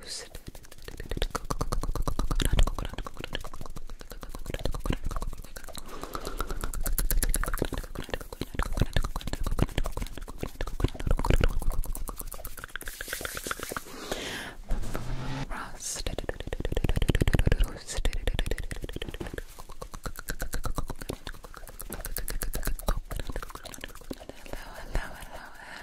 Toast. Coconut, coconut, coconut, coconut, coconut, Hello, hello, hello,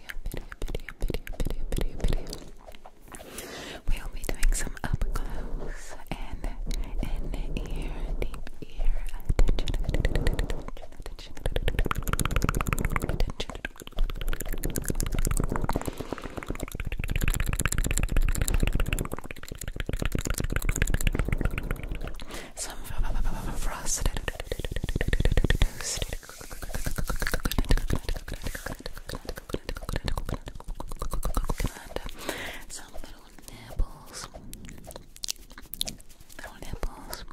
We'll be doing some up close and in ear, deep ear attention, attention, attention, attention. Some frosted, toasted some little nipples. Little nipples.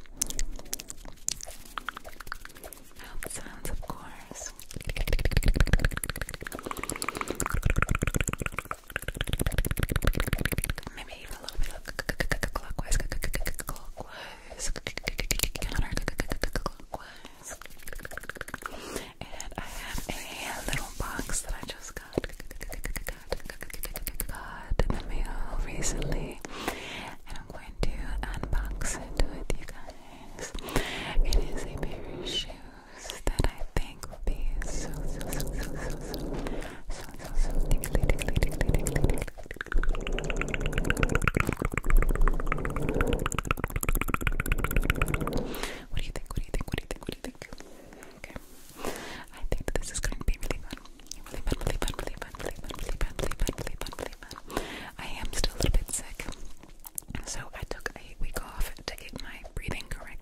Mouth sounds, of course. Maybe me And I have a little box that I just got, in the mail recently, and I'm going to unbox it with you guys. It is a pair of shoes that I think will be so, so, so, so, so what do you think? What do you think? What do you think? What do you think? Okay. I think this is going to be Really fun, really fun, really fun, really fun, really fun, really fun, really fun, really fun. I am still a little bit sick. So I took a week off to get my breathing correct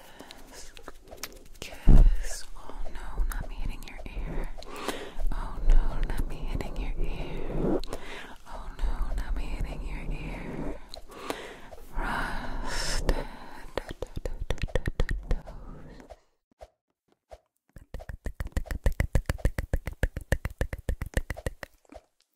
Kiss. Kiss. Oh no, not me hitting your ear. Oh no, not me hitting your ear. Oh no, not me hitting your ear. Rust.